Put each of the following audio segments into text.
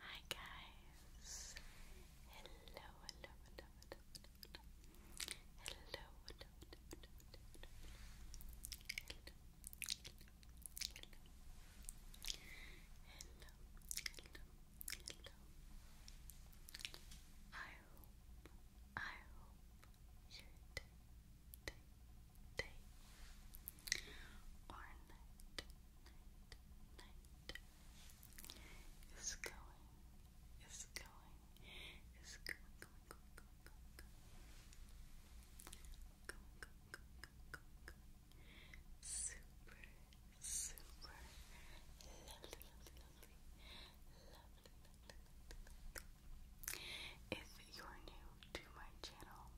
Hi guys! Hello, hello, hello, hello, hello, I hope, I hope night is going, is going, is going, going, going, going, going, going, going, going, going, going, going. super, super lovely, lovely, lovely, lovely, lovely, lovely. If you're new to my channel,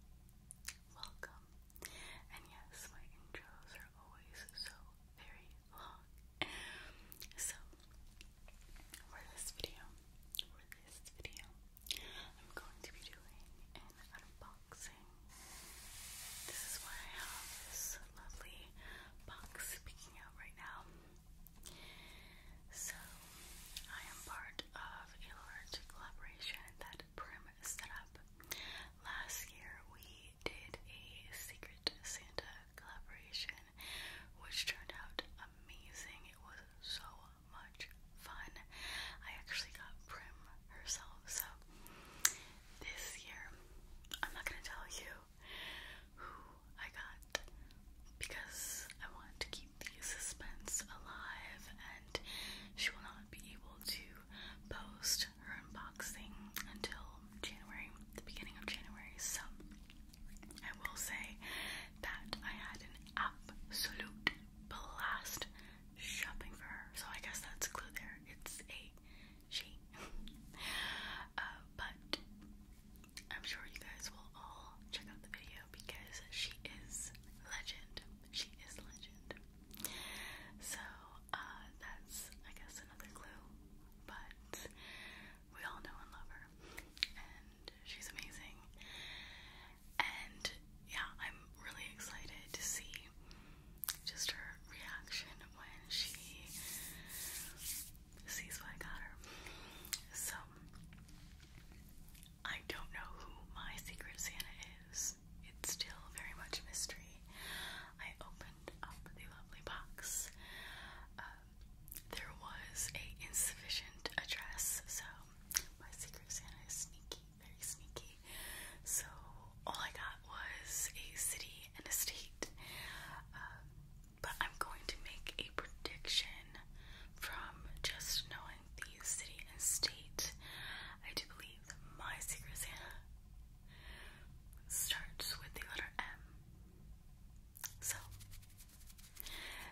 welcome. And yes, my intros are always so very long. So, for this video, for this video, I'm going to be doing an unboxing. This is why I have this lovely box speaking out right now. So, I am part of a large collaboration that Prim setup. Last year we did a Secret Santa collaboration, which turned out amazing. It was so much fun. I actually got Prim herself, so this year I'm not gonna tell you who I got because I want to keep the suspense alive and she will not be able to post her unboxing until January, the beginning of January. So I will say that I had an absolute blast shopping for her. So I guess that's a clue there. It's a she. Uh, but I'm sure you guys will all check out the video because she is legend. She is a legend. So, uh, that's, I guess, another clue. But we all know and love her. And she's amazing. And yeah, I'm really excited to see just her reaction when she sees what I got her. So, I don't know who my secret Santa is it's still very much a mystery. I opened up the lovely box. Um, there was a insufficient address, so my Secret Santa is sneaky, very sneaky. So all I got was a city and a state. Um, but I'm going to make a prediction from just knowing the city and state. I do believe that my Secret Santa starts with the letter M. So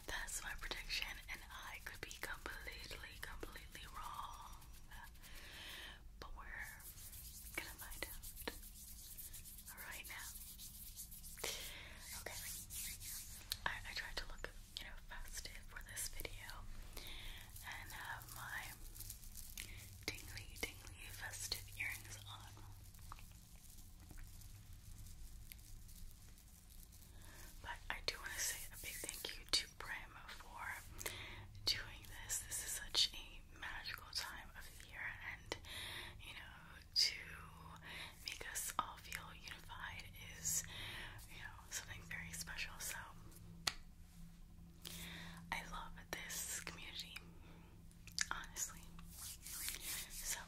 that's my prediction, and I could be completely, completely wrong. But we're gonna find out right now. Okay. I, tried to look, you know, festive for this video and uh, my tingly, tingly festive earrings on. But I do want to say a big thank you to Prim for doing this. This is such a magical time of the year, and you know, to make us all feel unified is, you know, something very special. So, I love this community, honestly. So,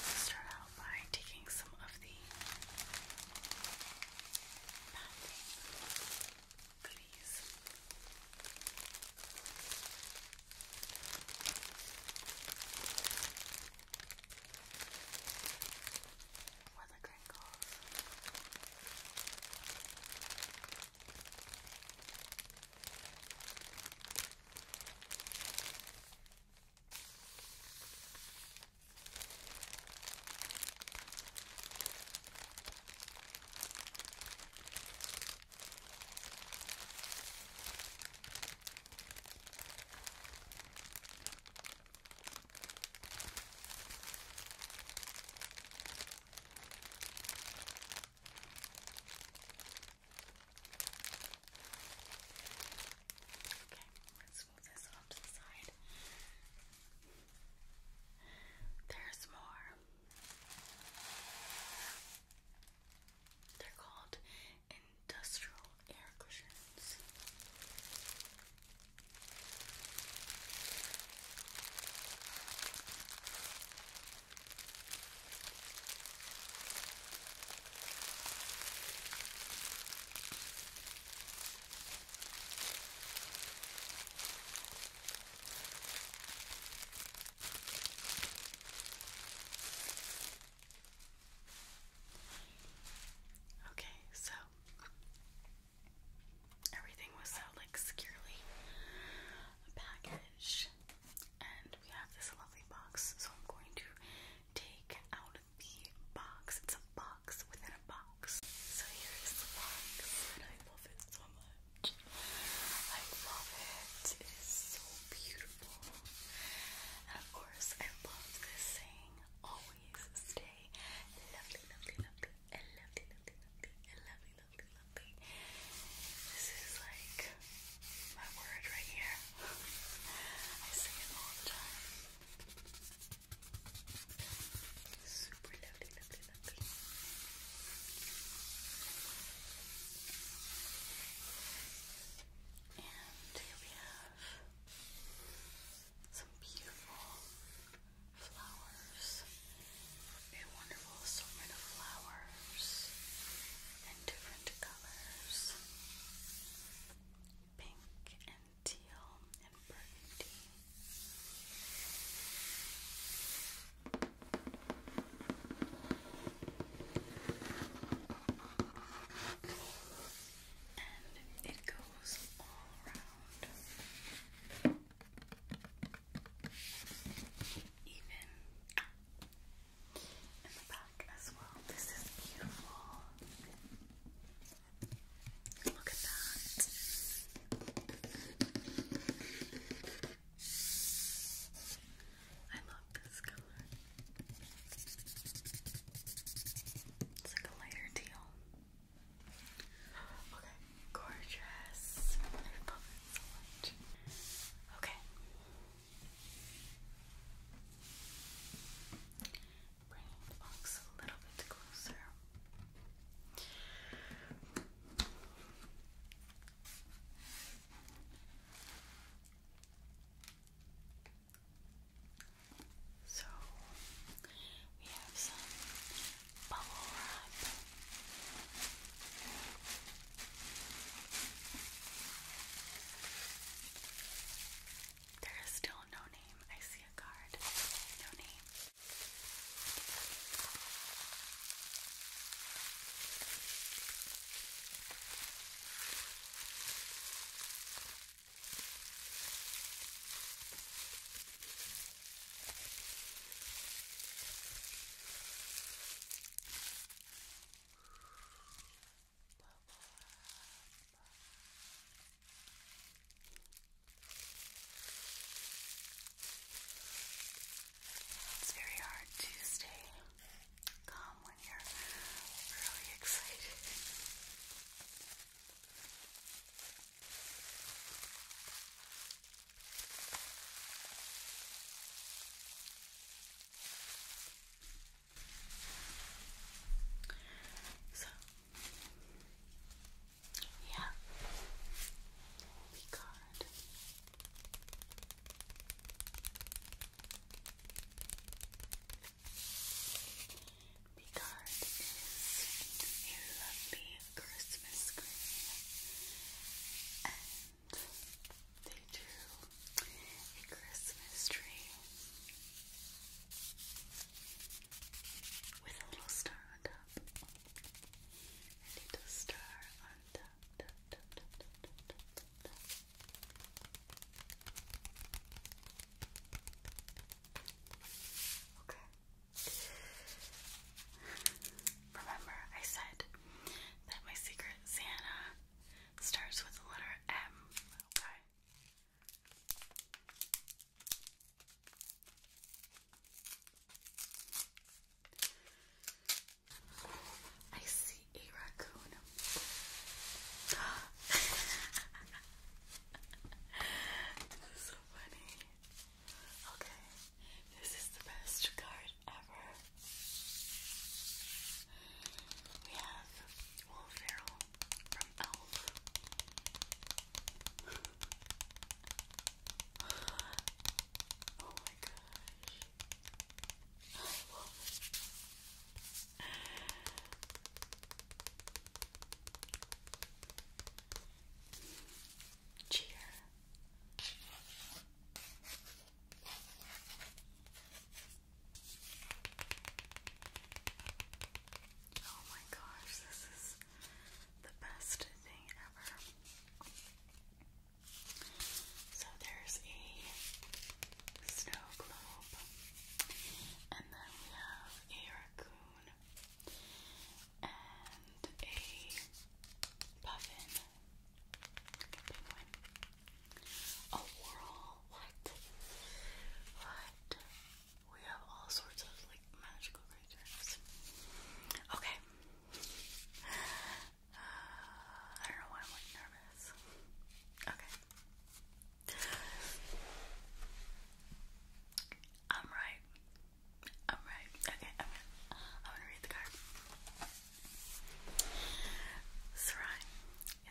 let's start out by taking some of the bathing goodies. Where the crinkles. Okay, let's move this off to the side. There's more. They're called industrial air cushions. Okay, so everything was so like securely packaged, and we have this lovely box. So I'm going to take out the box. It's a box within a box. So here is the box, and I love it so much. I love it. It is so beautiful. And of course, I love this saying always stay lovely, lovely, lovely, and lovely, lovely, lovely, and lovely, lovely, lovely. This is like my word right here. I sing it all the time. Super lovely, lovely, lovely. And here we have some beautiful flowers, a wonderful assortment of flowers in different colors pink and teal and burgundy. And it goes all around. Even in the back as well. This is beautiful. Look at that. I love this color. It's like a lighter teal. Okay, gorgeous. Okay. Bring the box a little bit closer. So we have some bubble wrap. There is still no name. I see a card. No name. It's very hard to stay come when you're really excited. So, yeah, we the you is a Christmas green, and they drew a Christmas tree with a little star on top, a little star on top. Okay. Remember, I said that my secret Santa starts with the letter M. Okay. I see a raccoon. so funny. Okay, this is the best card ever. We have Will from Elf. oh my gosh. I love it. Cheer. Oh my gosh, this is the best thing ever. So there's a snow globe and then we have a raccoon and a puffin. A penguin. A whirl. What? We have all sorts of like magical creatures. Okay. Uh, I don't know why I'm like nervous. Okay. I'm right. I'm right. Okay, I'm gonna, I'm gonna read the card. Sarai,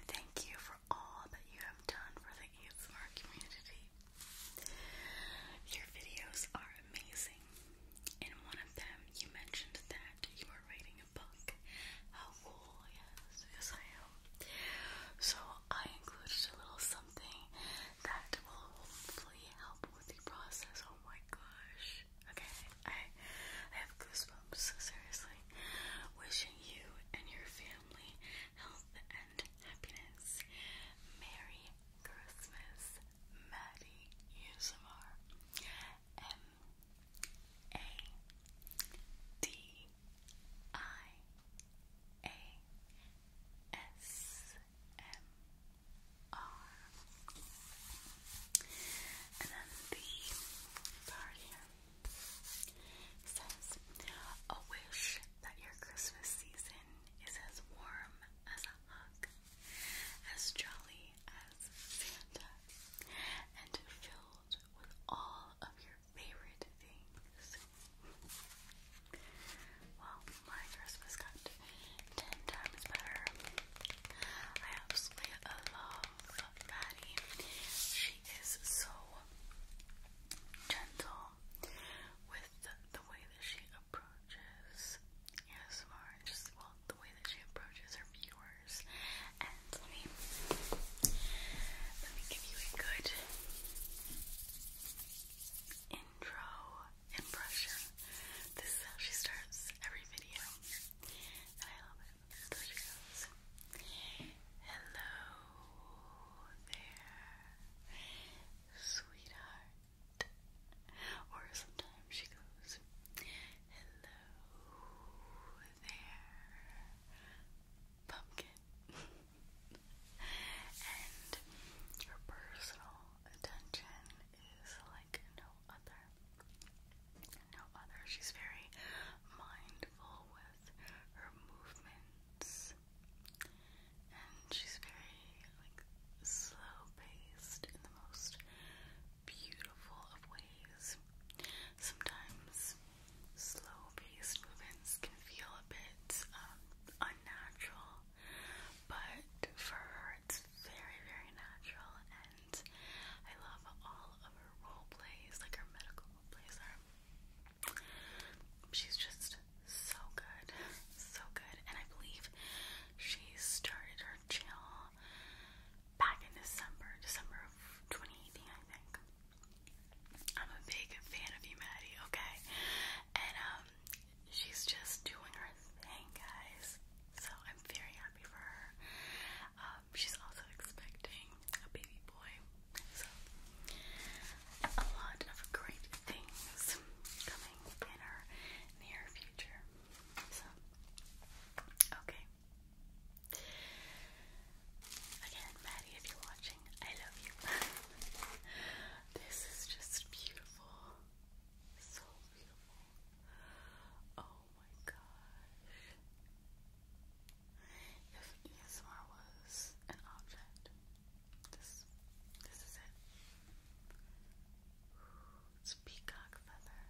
thank you for all that you have done for the ASMR community. Your videos are amazing. In one of them, you mentioned that you were writing book. How cool, yes, yes I am. So I included a little something that will hopefully help with the process. Oh my gosh. Okay, I, I have goosebumps, seriously. Wishing you and your family health and happiness. Merry Christmas, Maddie Usamar. A D I A S M R. And then the card says a wish that your Christmas season is as warm as a hug, as jolly as Santa, and filled with all of your favorite things. Well, my Christmas got ten times better. I absolutely love Patty. She is so gentle with the way that she approaches ASMR. Just well, the way that she approaches her viewers let me give you a good intro impression. This is how she starts every video. And I love it. So she goes. Hello there, sweetheart. Or sometimes she goes, Hello there, pumpkin and her personal attention is like no other. No other. She's very mindful with her movements and she's very like slow paced in the most beautiful of ways. Sometimes slow paced movements can feel a bit um, unnatural, but for her it's very, very natural, and I love all of her role plays, like her medical plays are. She's just so good, so good, and I believe she started her channel back in December, December of 2018, I think. I'm a big fan of you, Maddie, okay? And um, she's just doing her thing, guys. So I'm very happy for her. Um, she's also expecting a baby boy. So a lot of great things coming in our near future. So okay. Again, Maddie, if you're watching, I love you. this is just beautiful. So beautiful. Oh my gosh. If ESMR was an object, this this is it. it's peacock feather.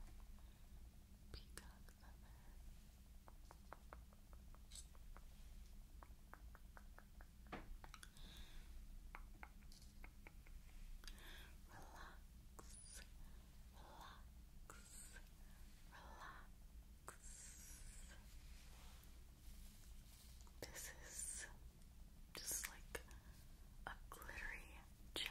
Peacock feather relax. This is just like a glittery gem.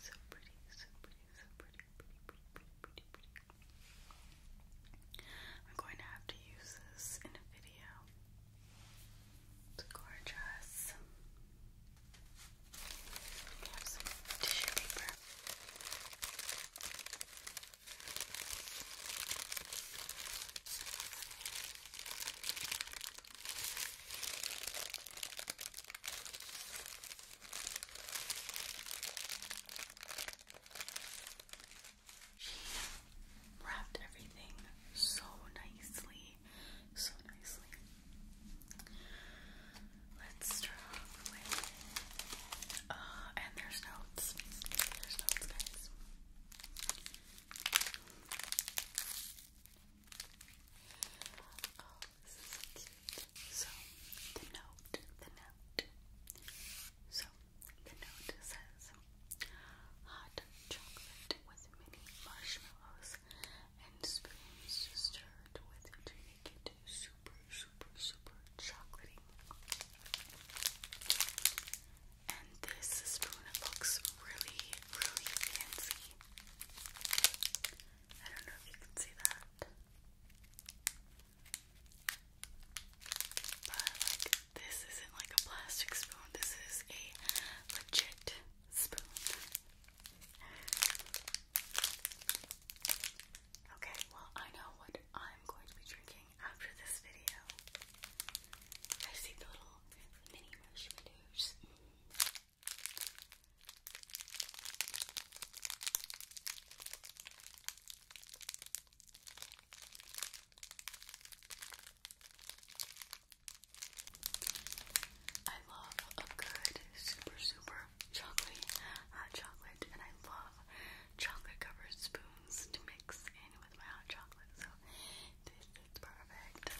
So pretty, so pretty, so pretty, so pretty, pretty, pretty, pretty, pretty, pretty. I'm going to have to use this in a video. It's gorgeous. We some tissue paper. She wrapped everything so nicely, so nicely. Let's try over with. Uh, and there's notes. There's notes, guys. Oh, this is so cute. So, the note, the note. So, the note says hot chocolate with mini marshmallows and spoons stirred with to make it super super, super chocolatey. And this spoon looks really, really fancy. I don't know if you can see that. But, like, this isn't like a plastic spoon, this is a legit spoon. Okay, well, I know what I'm going to be drinking after this video. I've the little mini marshmallows. I love a good, super, super chocolate hot chocolate, and I love chocolate covered spoons to mix in with my hot chocolate, so this is perfect. And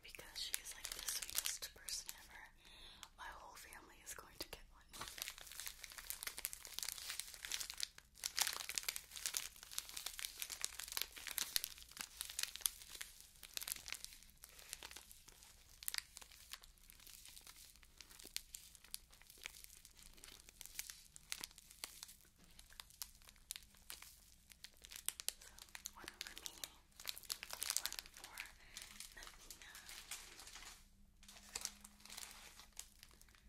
because she is like the sweetest person ever, my whole family is going to get one one for me, one for Navina.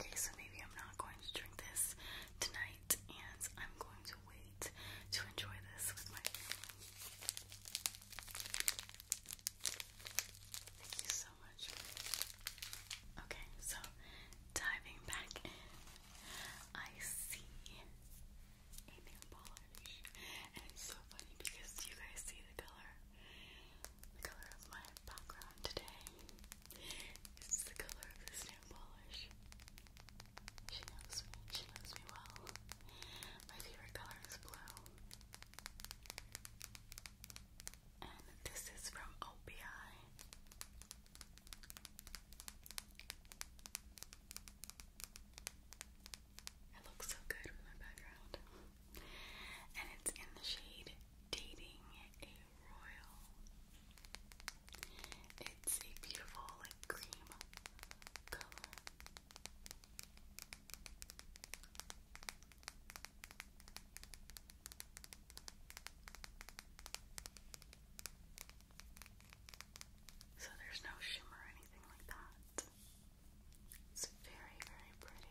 Okay, so maybe I'm not going to drink this tonight, and I'm going to wait to enjoy this with my family. Thank you so much. Okay, so diving back I see a nail polish, and it's so funny because you guys see the color the color of my background today is the color of this nail polish. She knows me, she knows me well. My favorite color is blue. And this is from OPI. I look so good with my background and it's in the shade Dating a Royal. It's a beautiful, like, cream color. So there's no shimmer or anything like that. It's very, very pretty.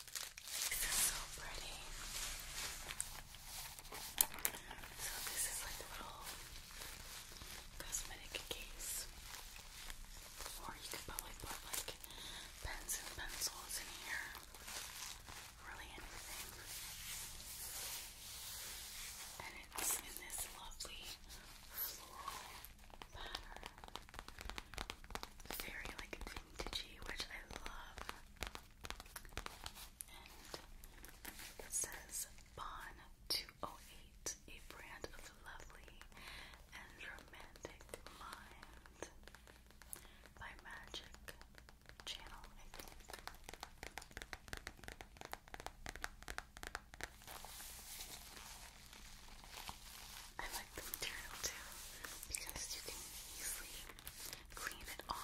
This is so pretty. So this is like a little cosmetic case. Or you could probably put like pens and pencils in here. Really anything. And it's in this lovely floral pattern. Very like vintagey, which I love. And it says Bon 208, a brand of lovely and romantic mind by Magic Channel, I like the material too because you can easily clean it off.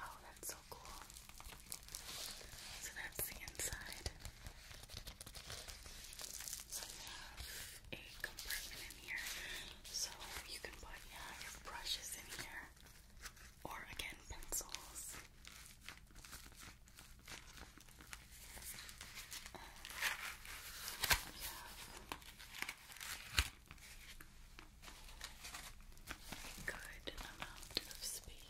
Oh, that's so cool. So that's the inside. So you have a compartment in here. So you can put yeah, your brushes in here. Or again, pencils. Um, have a good amount of space.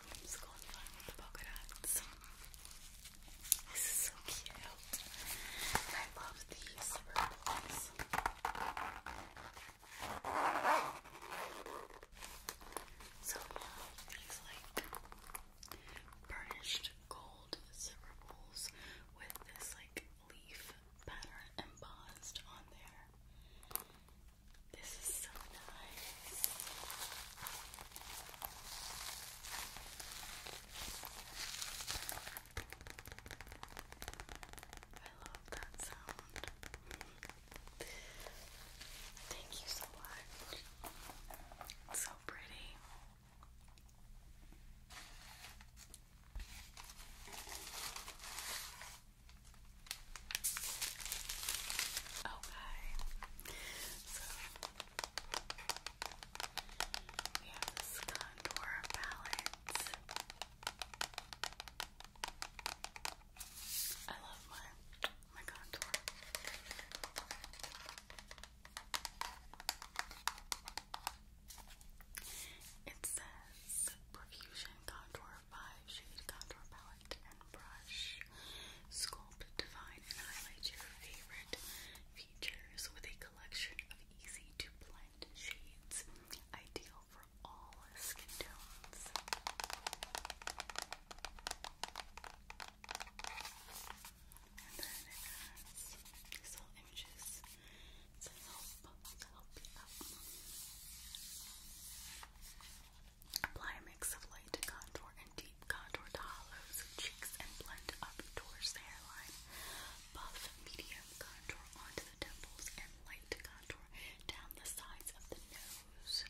Columns going on the polka This is so cute. I love these purples. So these like burnished gold zipper pulls with this like leaf pattern embossed on there. This is so nice. I love that sound. Thank you so much. so pretty. Okay. So we contour palette. I love my my contour. It says Profusion Contour 5 Shade Contour Palette brush. Sculpt, define, and highlight your favorite features with a collection of easy to blend shades, ideal for all skin tones. And then it has little images to help, to help you out. Apply a mix of light contour and deep contour to hollows, cheeks, and blend up towards the hairline. Buff medium contour onto the temples and light contour down the sides of the nose.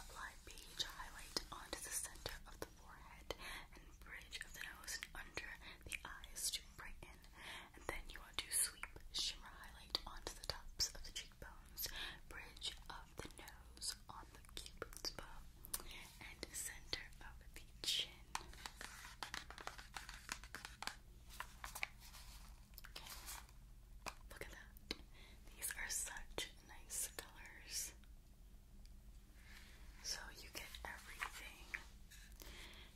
Apply beige highlight onto the center of the forehead and bridge of the nose and under the eyes to brighten. And then you want to sweep shimmer highlight onto the tops of the cheekbones bridge of the nose on the cupid's bow, and center of the chin. Look at that. These are such nice colors. So you get everything.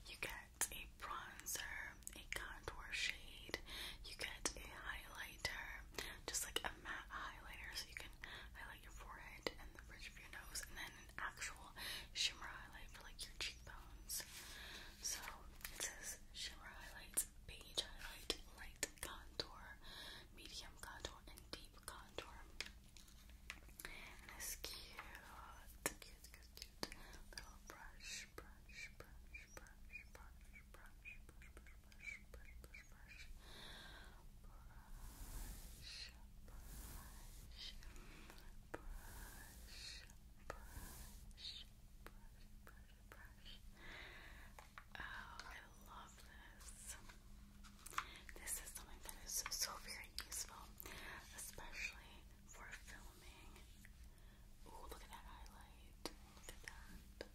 You get a bronzer, a contour shade, you get a highlighter, just like a matte highlighter so you can highlight your forehead and the bridge of your nose, and then an actual shimmer highlight for like your cheekbones. So it says shimmer highlights, beige highlight, light contour, medium contour, and deep contour. And this cute little brush, brush, brush, brush, brush, brush, brush, brush, brush, brush, brush, I love this. This is something that is so very useful, especially for filming. Ooh, look at that highlight. Look at that.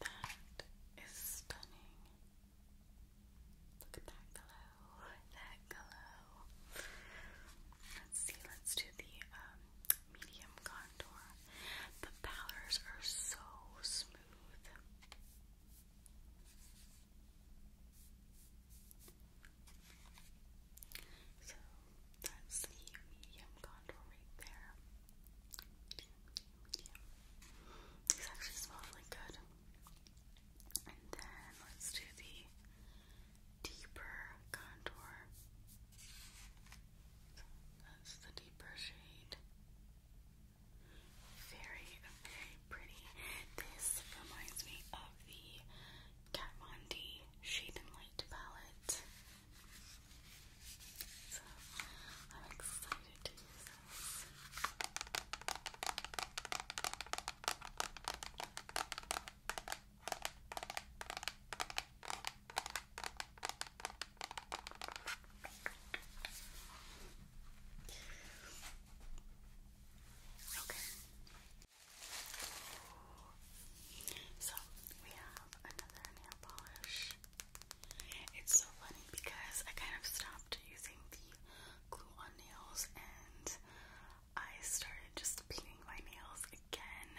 That is stunning. Look at that glow. That glow. Let's see, let's do the um, medium contour. The powders are so smooth. So that's the medium contour right there. Medium, actually smell really good. And then let's do the deeper contour. So that's the deeper shade. Very, very pretty. This reminds me of the Kat Von D Shade and Light palette. So I'm excited Okay, so we have another nail polish. It's so funny because I kind of stopped using the glue on nails and I started just painting my nails again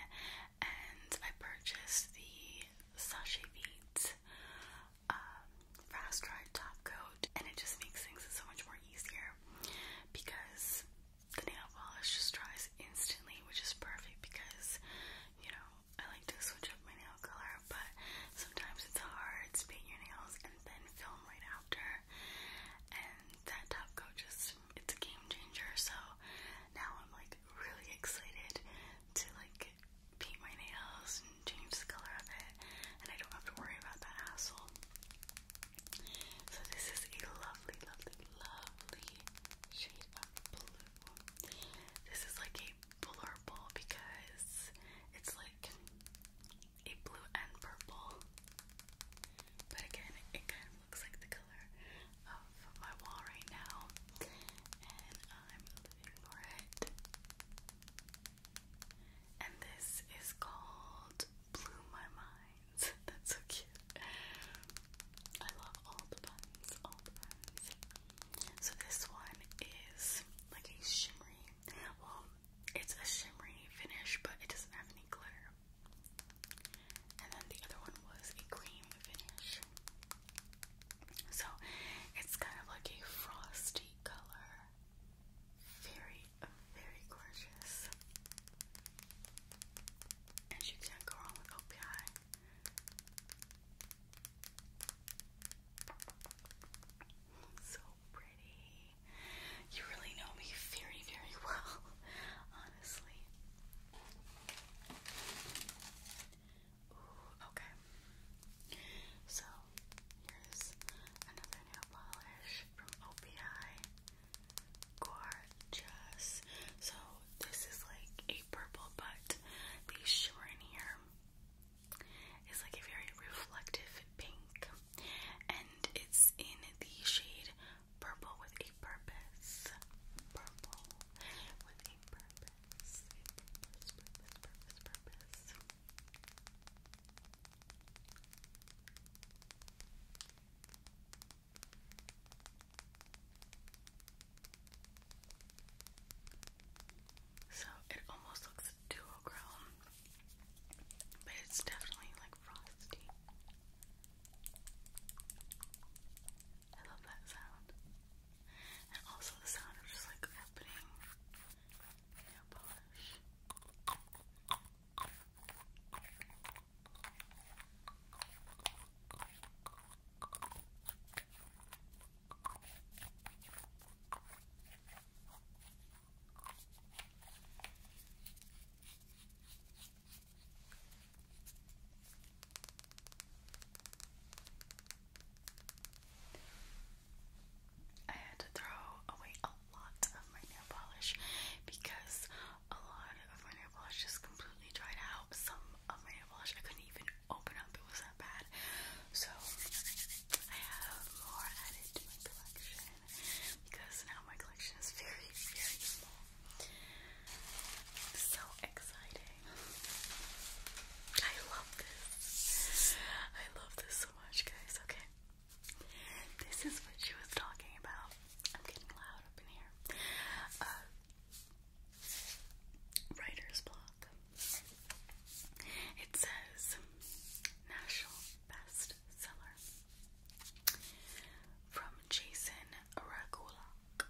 and I purchased the Sachet Beat um, fast dry top coat and it just makes things so much more easier because the nail polish just dries instantly, which is perfect because, you know, I like to switch up my nail color, but sometimes it's hard to paint your nails and then film right after. And that top coat just, it's a game changer, so now I'm like really excited to like paint my nails and change the color of it, and I don't have to worry about that hassle. So, this is a lovely, lovely, lovely this is like a blurple because it's like a blue and purple. But again, it kind of looks like the color of my wall right now. And I'm living for it. And this is called Blew My Mind. That's so cute. I love all the buns, all the buns. So this one is like a shimmery, well, it's a shimmery finish, but it doesn't have any glitter. And then the other one was a cream finish. So it's kind of like a frosty color. Very, very gorgeous and you can't go wrong with OPI. So pretty. You really know me very, very well, honestly. Ooh, okay. So here's another nail polish from OPI. Gorgeous. So this is like a purple, but the shimmer in here is like a very reflective pink, and it's in the shade purple with a purpose. Purple with a purpose. purpose, purpose, purpose, purpose. So it almost looks duochrome, but it's definitely like frosty. I love that sound. And also the sound of just like opening nail polish. I had to throw away a lot of my nail polish because a lot of my nail polish just completely dried out. Some of my nail polish I couldn't even open up, it was that bad. So I have more added to my collection because now my collection is very, very small. So exciting. I love this. I love this so much, guys. Okay. This is what she was talking about. I'm getting loud up in here. Uh, writer's block. It says National Bestseller from Jason Ragulak.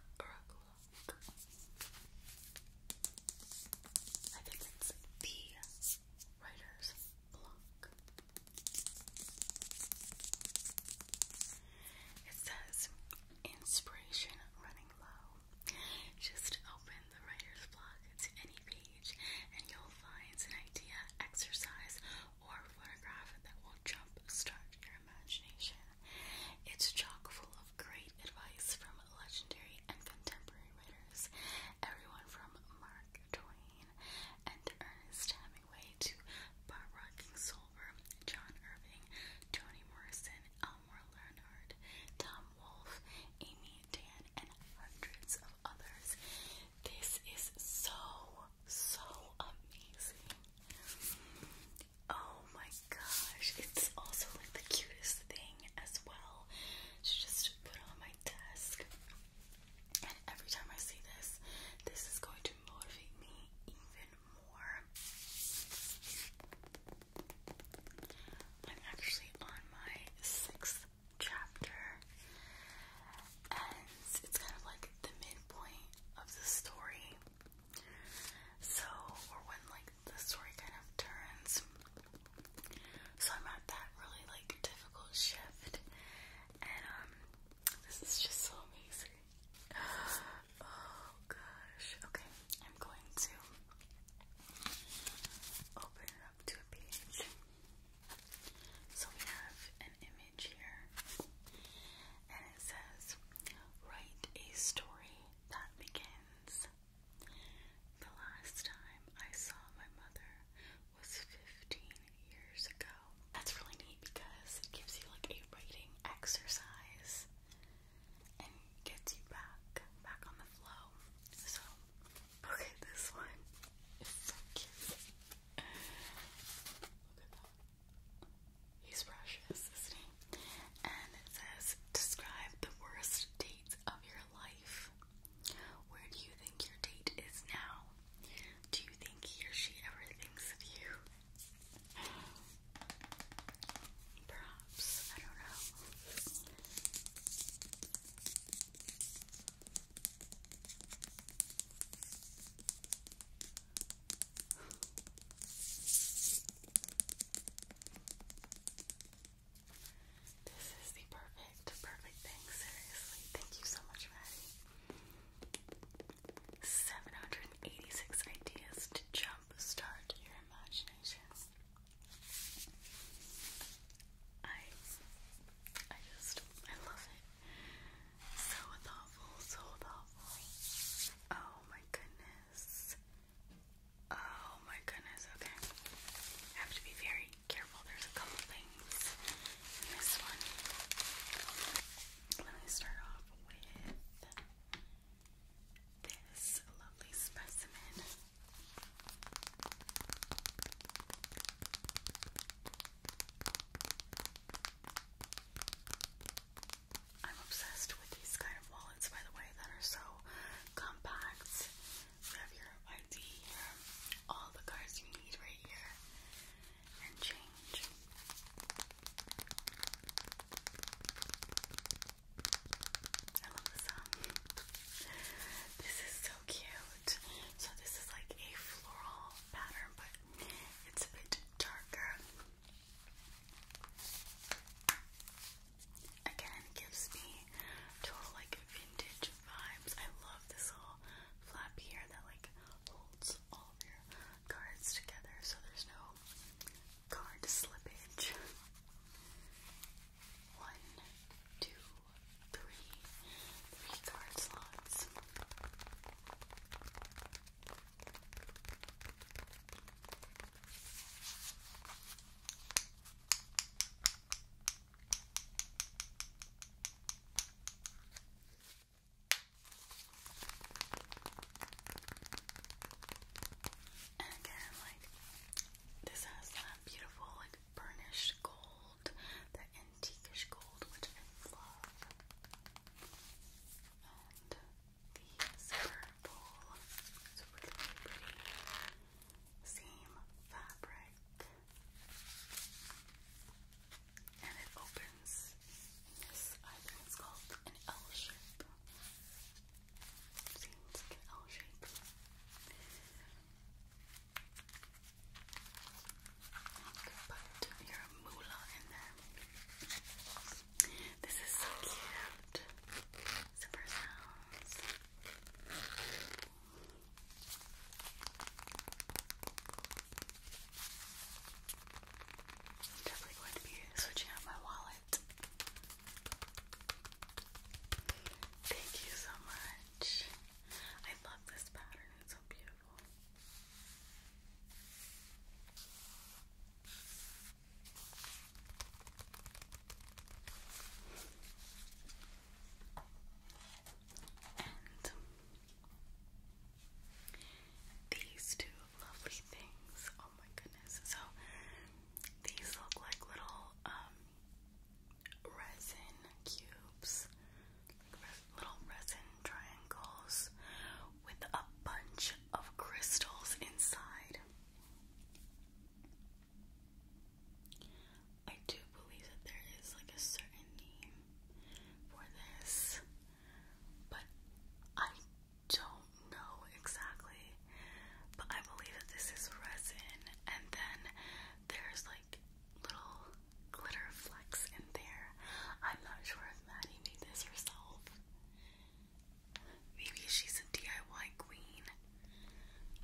I think it's the writer's block. It says, Inspiration running low. Just open the writer's blog to any page and you'll find an idea, exercise, or photograph that will jumpstart your imagination. It's chock full of great advice from legendary and contemporary writers, everyone from Mark Twain and Ernest Hemingway to Bob Barbara Kingsolver John Irving, Toni Morrison, Elmore Leonard, Tom Wolfe, Amy Dan, and hundreds of others. This is so, so amazing. Oh my gosh, it's also like the cutest thing as well to just put on my desk. And every time I see this, this is going to motivate me even more. I'm actually on my sixth chapter, and it's kind of like the midpoint of the story. So, or when like the story kind of turns. So I'm at that really like difficult shift, and um, this is just so amazing. Oh gosh. Okay, I'm going to open up to page. So we have an image here, and it says, Write a story that begins. The last time I saw my mother was 15 years ago. That's really neat because it gives you like a writing exercise and gets you back, back on the flow. So, okay, this one is so cute. Look at that. He's precious, isn't he? And it says, describe the worst dates of your life. Where do you think your date is now? Do you think he or she ever thinks of you? Perhaps, I don't know. This is the perfect, perfect thing, seriously. Thank you so much, Maddie. 786 ideas to jump jump start your imagination. I I just I love it. So thoughtful, so thoughtful. Oh my goodness. Oh my goodness, okay. have to be very careful. There's a couple things in this one. Let me start off with this lovely specimen. I'm obsessed with these kind of wallets, by the way, that are so compact. You have your ID all the cards you need right here, and change. I love the This is so cute. So this is like a floral pattern, but it's a bit darker. Again, gives me total like vintage vibes. I love this little flap here that like holds all of your cards together so there's no card slippage. One, two, three, three card slots. And again, like this has that beautiful, like burnished gold, that antiquish gold, which I love. And these purple, it's really pretty. Same fabric. And it opens this, I think it's called an L shape. See, like an L shape. Put your moolah in there. This is so cute. Super sounds. I'm definitely going to be switching out my wallet Thank you so much. I love this pattern, it's so beautiful. And these two lovely things. Oh my goodness. So these look like little um, resin cubes, little resin triangles with a bunch of crystals inside. I do believe that there is like a certain name for this, but I don't know exactly, but I believe that this is resin, and then there's like little glitter flecks in there. I'm not sure if Maddie made this herself. Maybe she's a DIY queen.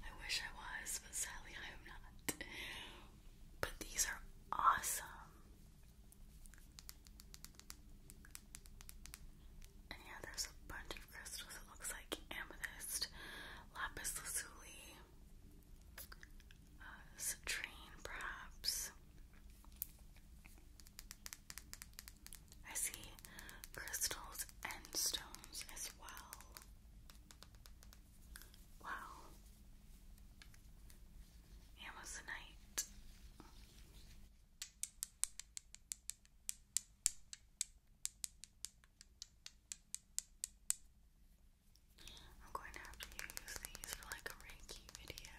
I wish I was, but sadly I am not. But these are awesome yeah, there's a bunch of crystals. It looks like amethyst, lapis lazuli, uh, citrine, perhaps. I see crystals and stones as well. Wow. Amazonite. I'm going to have to use these for like a Reiki video.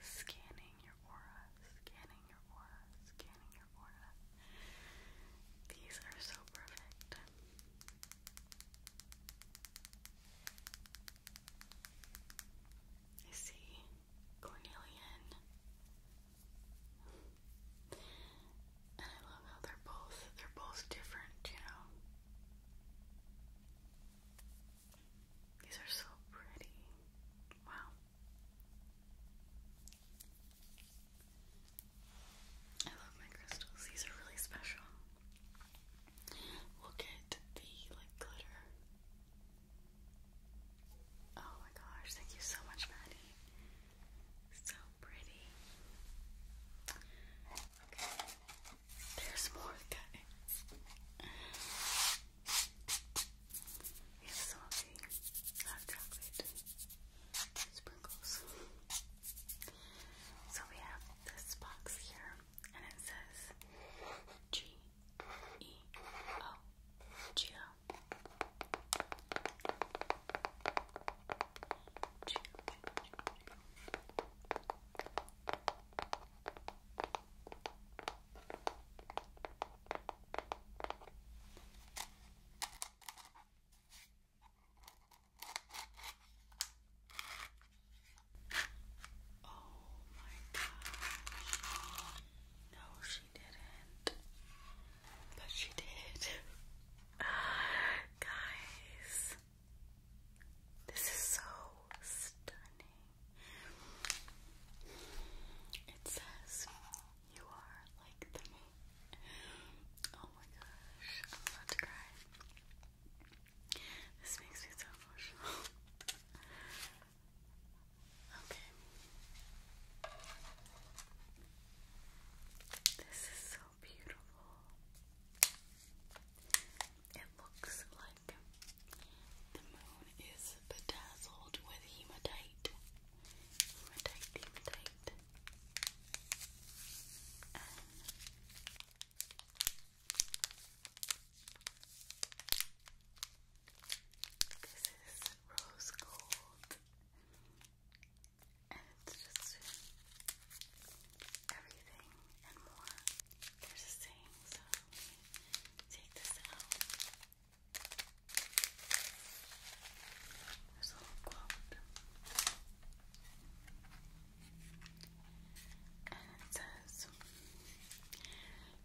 Scanning your aura, scanning your aura, scanning your aura. These are so perfect. I see Cornelian. And I love how they're both they're both different, you know. These are so pretty. Wow. I love my crystals. These are really special. We'll get the like glitter. Oh my gosh, thank you so much, Maddie. So pretty. Okay. There's more guys. We have chocolate sprinkles. So we have this box here, and it says G E O G O. Oh my gosh. No, she didn't. But she did. Guys, this is so stunning. It says you are like the moon. Oh my gosh, I'm about to cry. This makes me so emotional. okay. This is so beautiful. It looks like the moon is bedazzled with hematite. Hematite, hematite. this is rose gold. And it's just everything and more. There's a saying, so take this out. There's a little quote. And it says,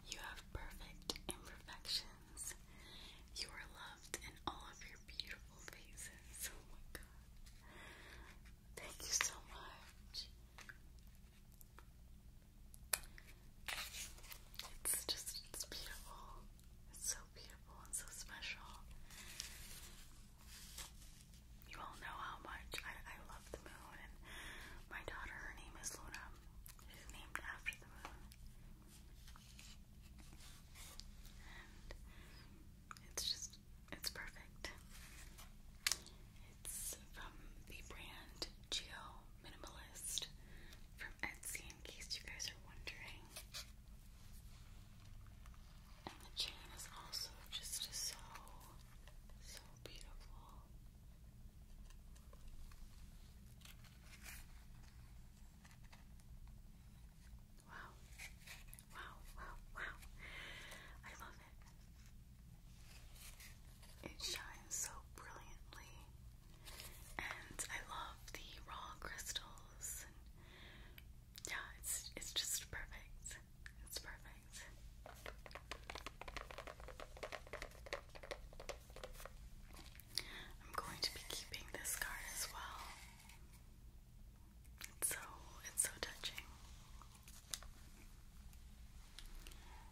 You have perfect imperfections. You are loved in all of your beautiful faces. Oh my god. Thank you so much. It's just, it's beautiful. It's so beautiful and so special. You all know how much I, I love the moon, and my daughter, her name is Luna. She's named after the moon. it's just it's perfect. It's from the brand Geo Minimalist from Etsy, in case you guys are wondering. And the chain is also just so, so beautiful. Wow. Wow, wow, wow. I love it. It shines so brilliantly. And I love the raw crystals. yeah, it's it's just perfect. It's perfect. I'm going to be keeping this card as well. It's so it's so touching.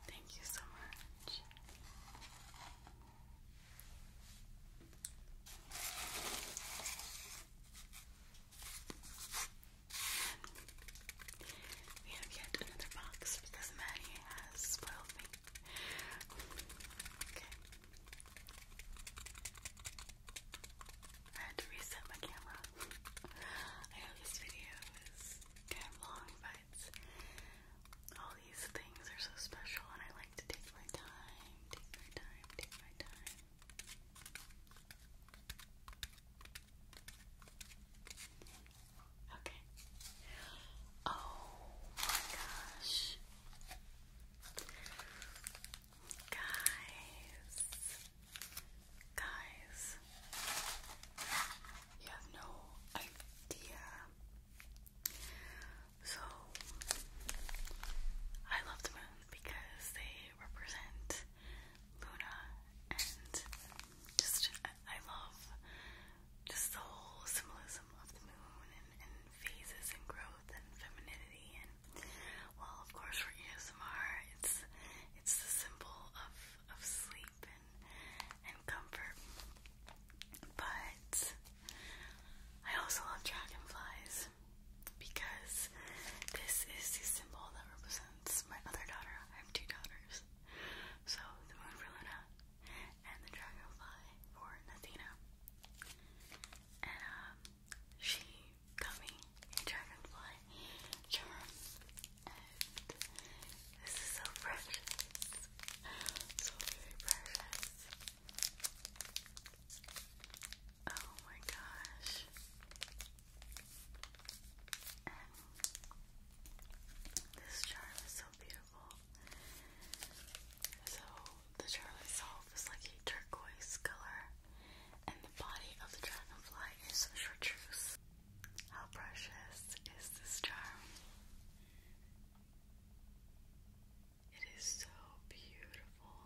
Thank you so much. we have yet another box because Maddie has spoiled me. Okay. I had to reset my camera. I know this video is long, but all these things are so special, and I like to take my time, take my time, take my time. Okay. Oh my gosh. Guys, Guys, you have no idea. So, I love the moons because they represent Luna and just, I love just the whole symbolism of the moon and, and phases and growth and femininity and, well, of course, for ASMR, it's it's the symbol of of sleep and and comfort. But I also love dragonflies because this is the symbol that represents my other daughter. I have two daughters. So the moon for Luna and the dragonfly for Nathina. And um she gummy charm. And this is so precious. So very precious. Oh my gosh. this charm is so beautiful. So the charm itself is like a turquoise color and the body of the dragonfly is chartreuse. How precious is this charm? It is so beautiful.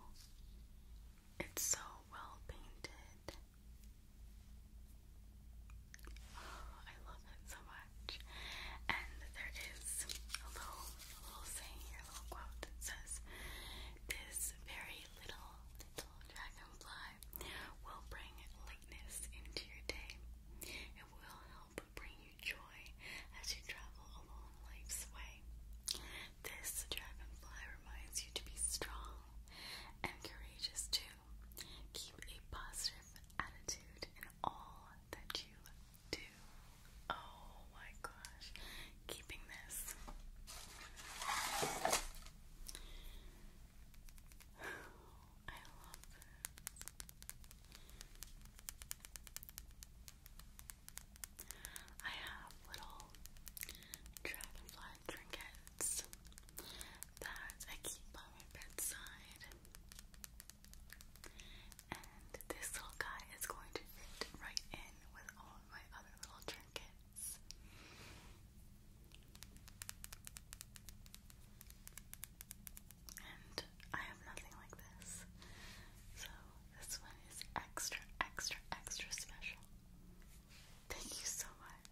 It's so well painted. Oh, I love it so much. And there is a little, little saying a little quote that says, This very little, little dragonfly will bring lightness into your day. It will help bring you joy as you travel along life's way. This dragonfly reminds you to be strong and courageous too. Keep a positive attitude in all that you do. Oh my gosh, keeping this. I love this. I have little dragonfly trinkets that I keep by my bedside. And this little guy is going to fit right in with all of my other little trinkets. And I have nothing like this. So this one is extra, extra, extra special. Thank you so much.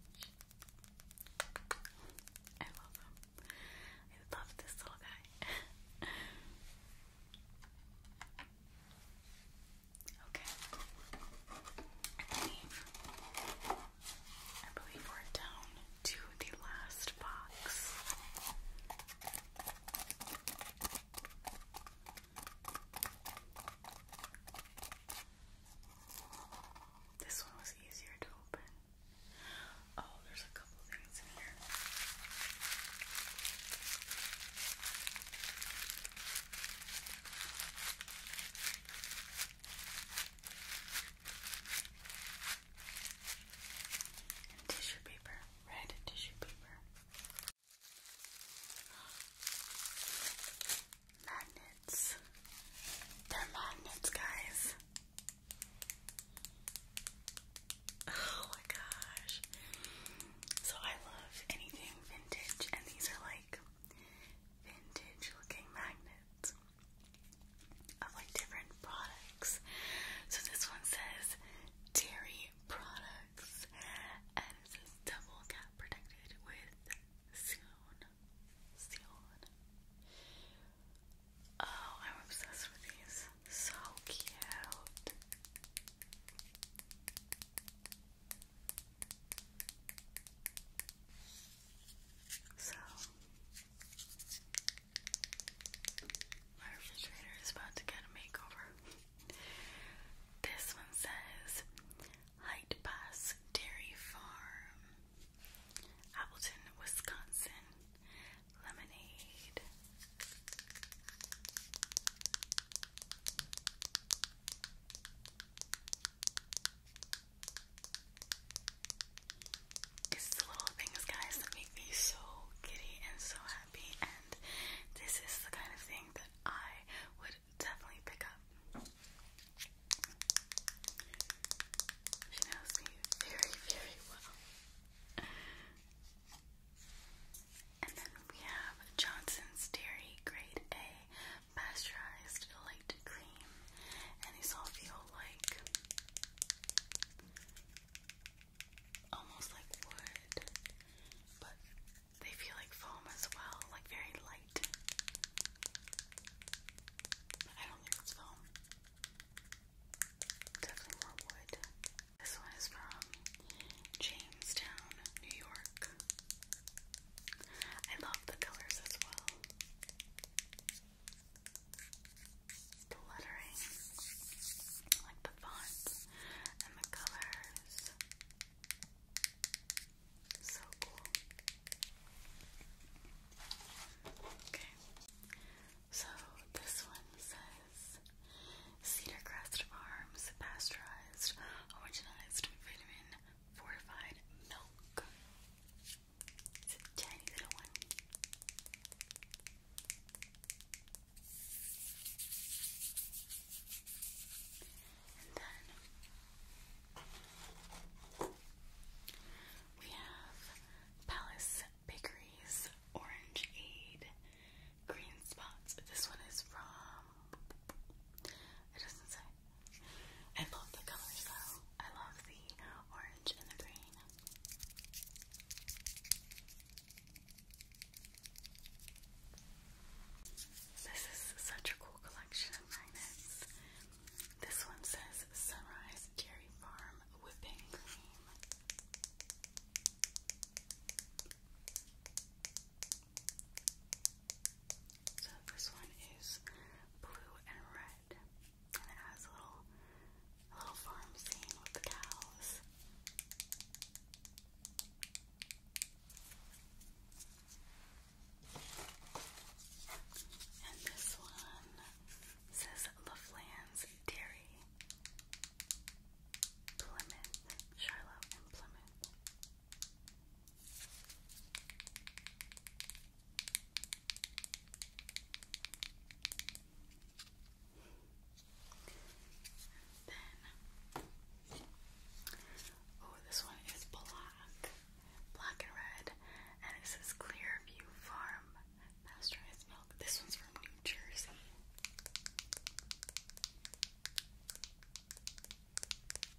I love him. I love this little guy. Okay. I believe we're down to the last box. This one was easier to open. Oh, there's a couple things in here. And tissue paper, red tissue paper. Magnets. They're magnets, guys. Oh my gosh. So I love anything vintage, and these are like vintage looking magnets of like different products. So this one says dairy products and it says double cat protected with Seon. Seon. Oh, I'm obsessed with these. So cute. So, my refrigerator is about to get a makeover. This one says Height Pass Dairy Farm, Appleton, Wisconsin, lemonade. It's the little things, guys, that make me so giddy and so happy, and this is the kind of thing that I would definitely pick up. She knows me very, very well. And then we have Johnson's Dairy Grade A Pasteurized light cream, and these all feel like almost like wood, but they feel like foam as well, like very light. I don't think it's foam. Definitely more wood. This one is from Jamestown, New York. I love the colors as well. The lettering, like the fonts and the colors. So cool. Okay. So this one says Cedar Crest Farms pasteurized, homogenized vitamin fortified milk. It's a tiny little one. And then we have Palace Bakeries Orange Aid Green Spots. This one is from, it doesn't say, I love the colors though. I love the orange and the green. This is such a cool collection of magnets. This one says Sunrise Dairy Farm Whipping Cream. So this one is blue and red, and it has a little, little farm scene with the cows. And this one says LaFlan's Dairy, Plymouth, Charlotte, and Plymouth oh, this one is black, black and red, and it says Clearview Farm pasteurized milk. This one's from New Jersey. So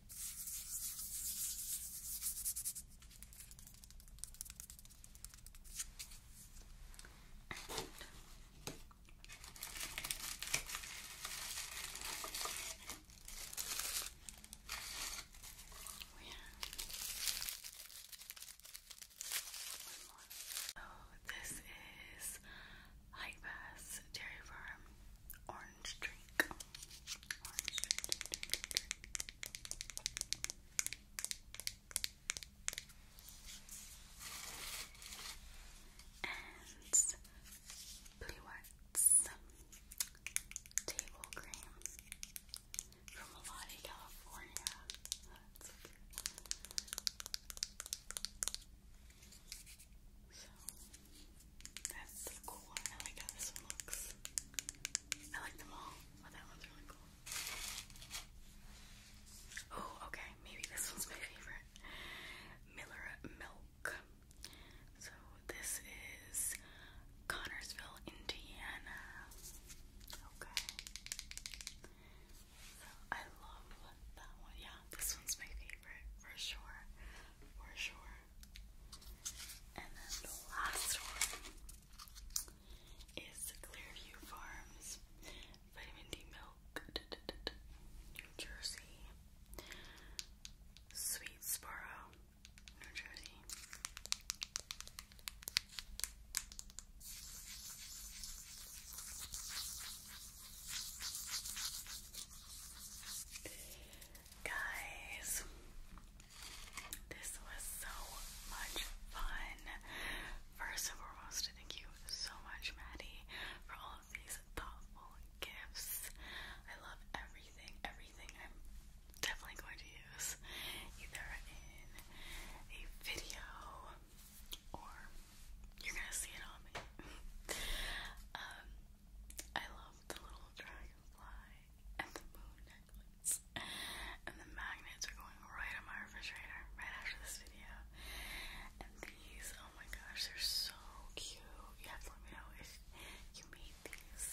oh, this is Hike Pass Dairy Farm orange drink. Orange drink, And blue arts table cream from Malati, California. That's a cool I like how this one looks. I like them all, but oh, that one's really cool. Oh, okay. Maybe this one's my favorite. Miller Milk. So this is Connorsville, Indiana. Okay. So I love that one. Yeah, this one's my favorite for sure. For sure. And then the last one is Clearview Farms Vitamin D Milk, New Jersey. Sweet Sparrow, New Jersey. Guys, this was so much fun. First and foremost, thank you so much, Maddie, for all of these thoughtful gifts. I love everything, everything I'm definitely going to use either in a video or you're gonna see it on me. um, I love the little dragonfly and the moon necklace. And the magnets are going right on my refrigerator right after this video. And these, oh my gosh, they're so cute. You have to let me know if you made these.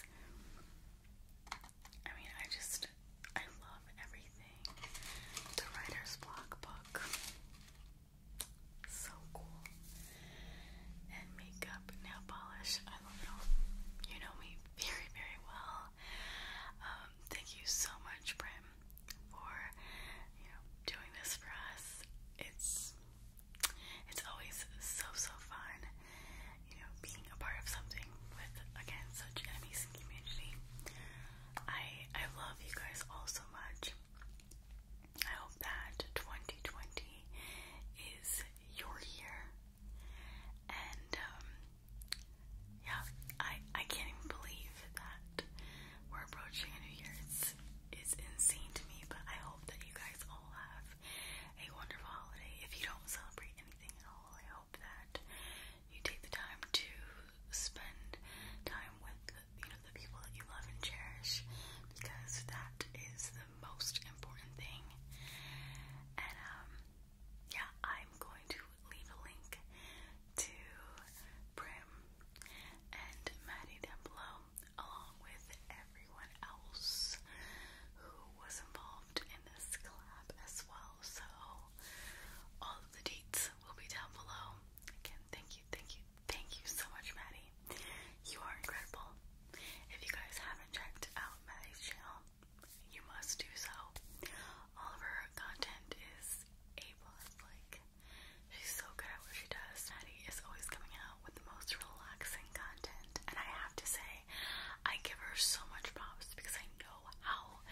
I mean, I just, I love everything. The Writer's Block book. So cool. And makeup, nail polish, I love it all. You know me, very, very well. Um, thank you so much, Brim, for you know doing this for us. It's it's always so so fun, you know, being a part of something with again such an amazing community. I I love you guys all so much. I hope that 2020 is your year and um yeah, I I can't even believe that we're approaching a New Year's. It's insane to me, but I hope that you guys all have a wonderful holiday. If you don't celebrate anything at all, I hope that you take the time to spend time with you know the people that you love and cherish because that is the most important thing. And um, yeah, I'm going to leave a link to Prim and Maddie down below, along with everyone else who was involved in this collab as well. So all of the dates will be down below. Again, thank you, thank you, thank you so much, Maddie. You are incredible. If you guys haven't checked out Maddie's channel, you must do so. All of her content is A plus, like she's so good at what she does. Maddie is always coming out with the most relaxing content, and I have to say, I give her so much props because I know how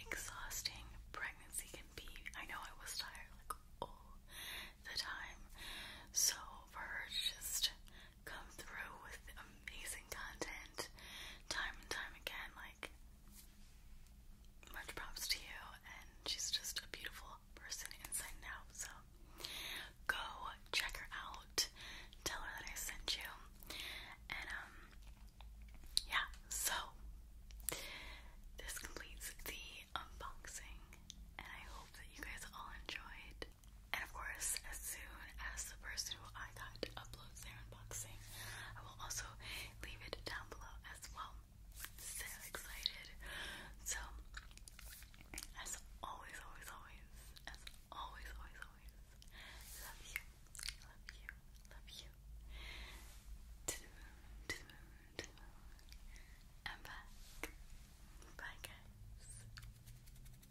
exhausting pregnancy can be. I know I was tired like all the time. So for her to just come through with amazing content time and time again. Like, much props to you, and she's just a beautiful person inside and So, go check her out, tell her that I sent you, and um, yeah, so this completes the unboxing, and I hope that you guys all enjoyed. And of course, as soon as the person who I got uploads their unboxing, I will also leave it down below as well. So excited. So, as always, always, always, as always, always, always, love you, love you, love you. To the moon, to the Bye, guys.